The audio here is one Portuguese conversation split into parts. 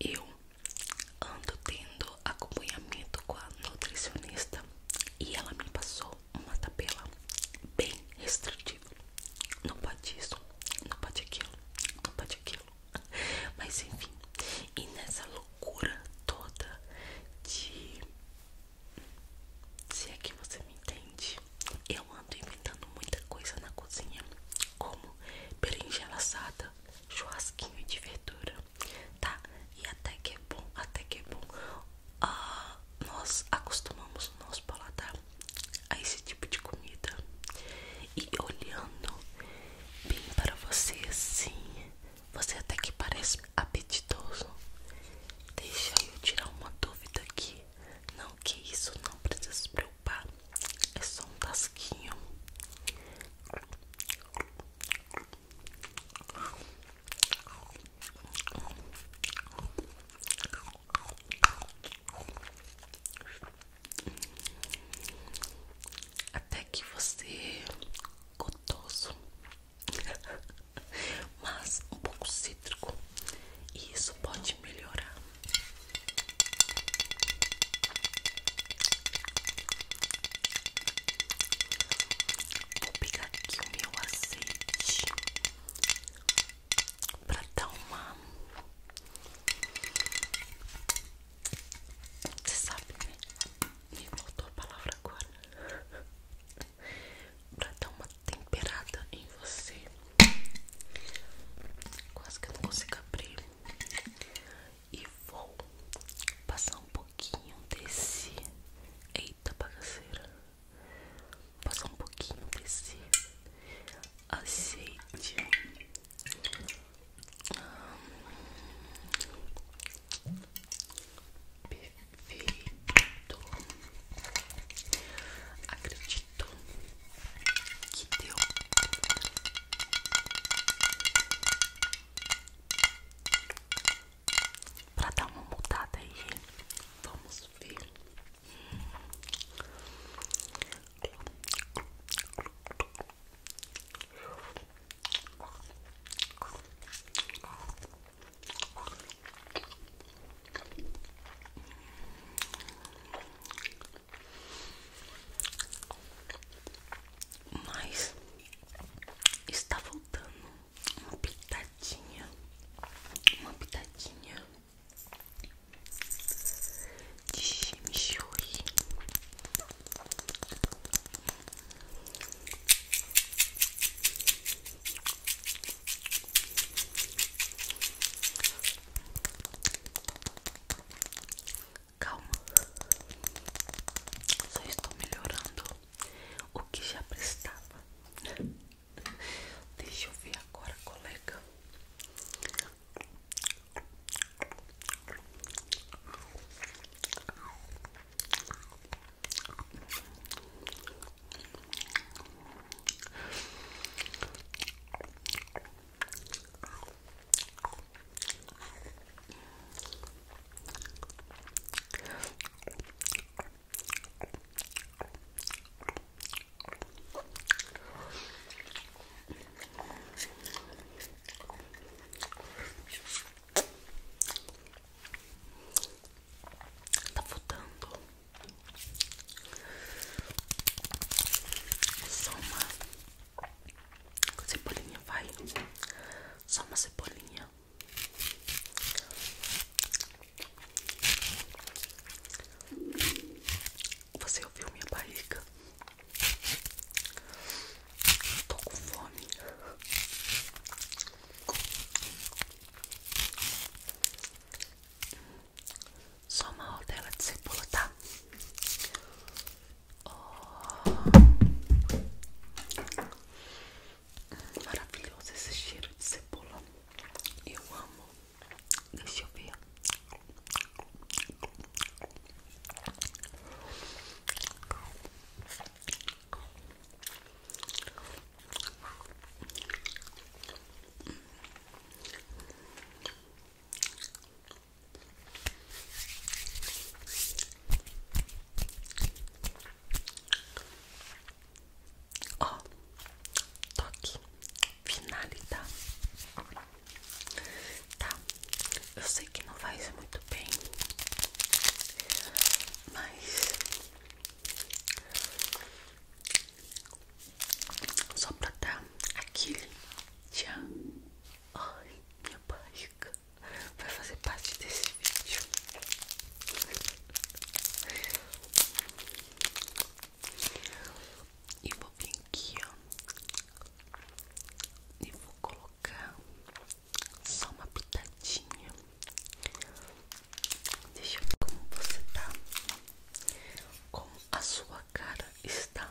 Eu ando tendo acompanhamento com a nutricionista e ela me passou uma tabela bem restritiva. Não pode isso, não pode aquilo, não pode aquilo. Mas enfim, e nessa loucura toda de. Se é que você me entende, eu ando inventando muita coisa na cozinha, como berinjela assada, churrasquinho de verdura, tá? E até que é bom, até que é bom. Ah, nós acostumamos o nosso paladar a esse tipo de comida. E olhando bem para você sim, você até que parece apetitoso. Deixa eu tirar uma dúvida aqui. Não que isso não precisa se preocupar. Opa, é só um tasquinho. Até que você gostoso, mas um pouco cítrico, e isso pode melhorar. Vou pegar aqui o meu azeite para dar uma. Você sabe, né? Me voltou a palavra agora. pra dar uma temperada em você. Quase que eu não consigo abrir. E vou passar um pouquinho desse. Eita bagaceira. Passar um pouquinho desse azeite. Hum. Perfeito. Acredito acredito deu. Pra dar uma mudada aí, vamos ver. Mas está voltando uma pitadinha, uma pitadinha de chimichurri. Calma, só estou melhorando o que já prestava. Deixa eu ver agora, colega. Tá voltando. Soma Cebolinha, vai Só uma cebolinha Você ouviu minha barriga? Tô com fome só uma rodela de cebola, tá? Oh. Maravilhoso esse cheiro de cebola. Eu amo. Deixa eu ver. Ó, toque, finalidade. Tá, eu sei que não faz muito bem, mas só pra dar aquele já. Ai, minha barriga vai fazer parte desse vídeo. E vou vir aqui, E vou colocar só uma pitadinha. Deixa eu ver como você tá. Como a sua cara está.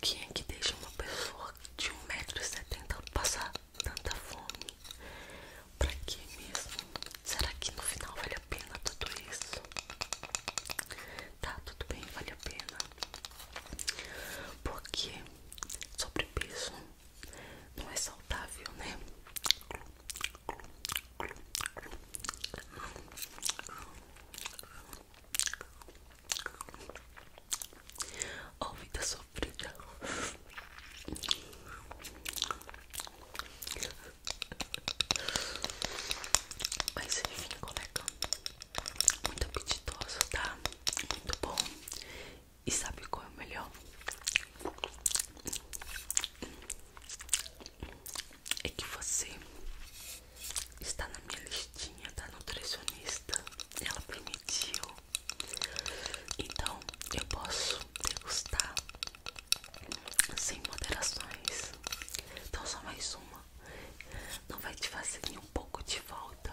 Quem é que deixa uma pessoa de 1,70m passar tanta fome? Pra que mesmo? Será que no final vale a pena tudo isso? Tá, tudo bem, vale a pena. Porque sobrepeso não é saudável, né? Oh, vida sofrida. Mas enfim, colega, muito apetitoso, tá? Muito bom. E sabe qual é o melhor? é que você está na minha listinha da tá nutricionista. Ela permitiu. Então eu posso degustar sem moderações. Então só mais uma. Não vai te fazer nem um pouco de volta.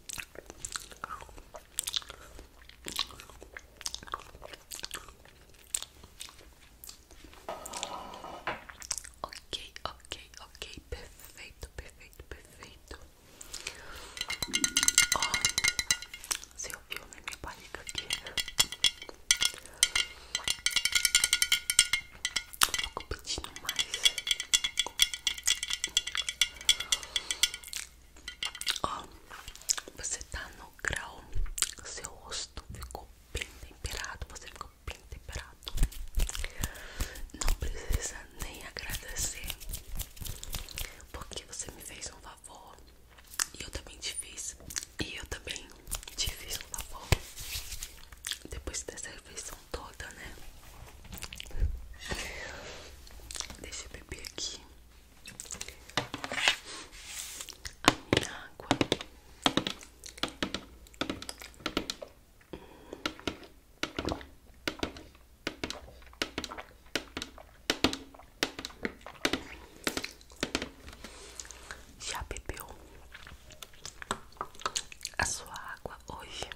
Ok, ok, ok, perfeito, perfeito, perfeito. Ó, oh, você ouviu na né, minha barriga aqui? Um pouco pedindo mais. Ó, você tá no grau, seu rosto ficou bem temperado, você ficou bem temperado. Não precisa nem agradecer, porque você me fez um favor e eu também te fiz. E eu também te fiz um favor. Depois dessa refeição, toda, né? Deixa eu beber aqui a minha água. Já bebeu a sua água hoje?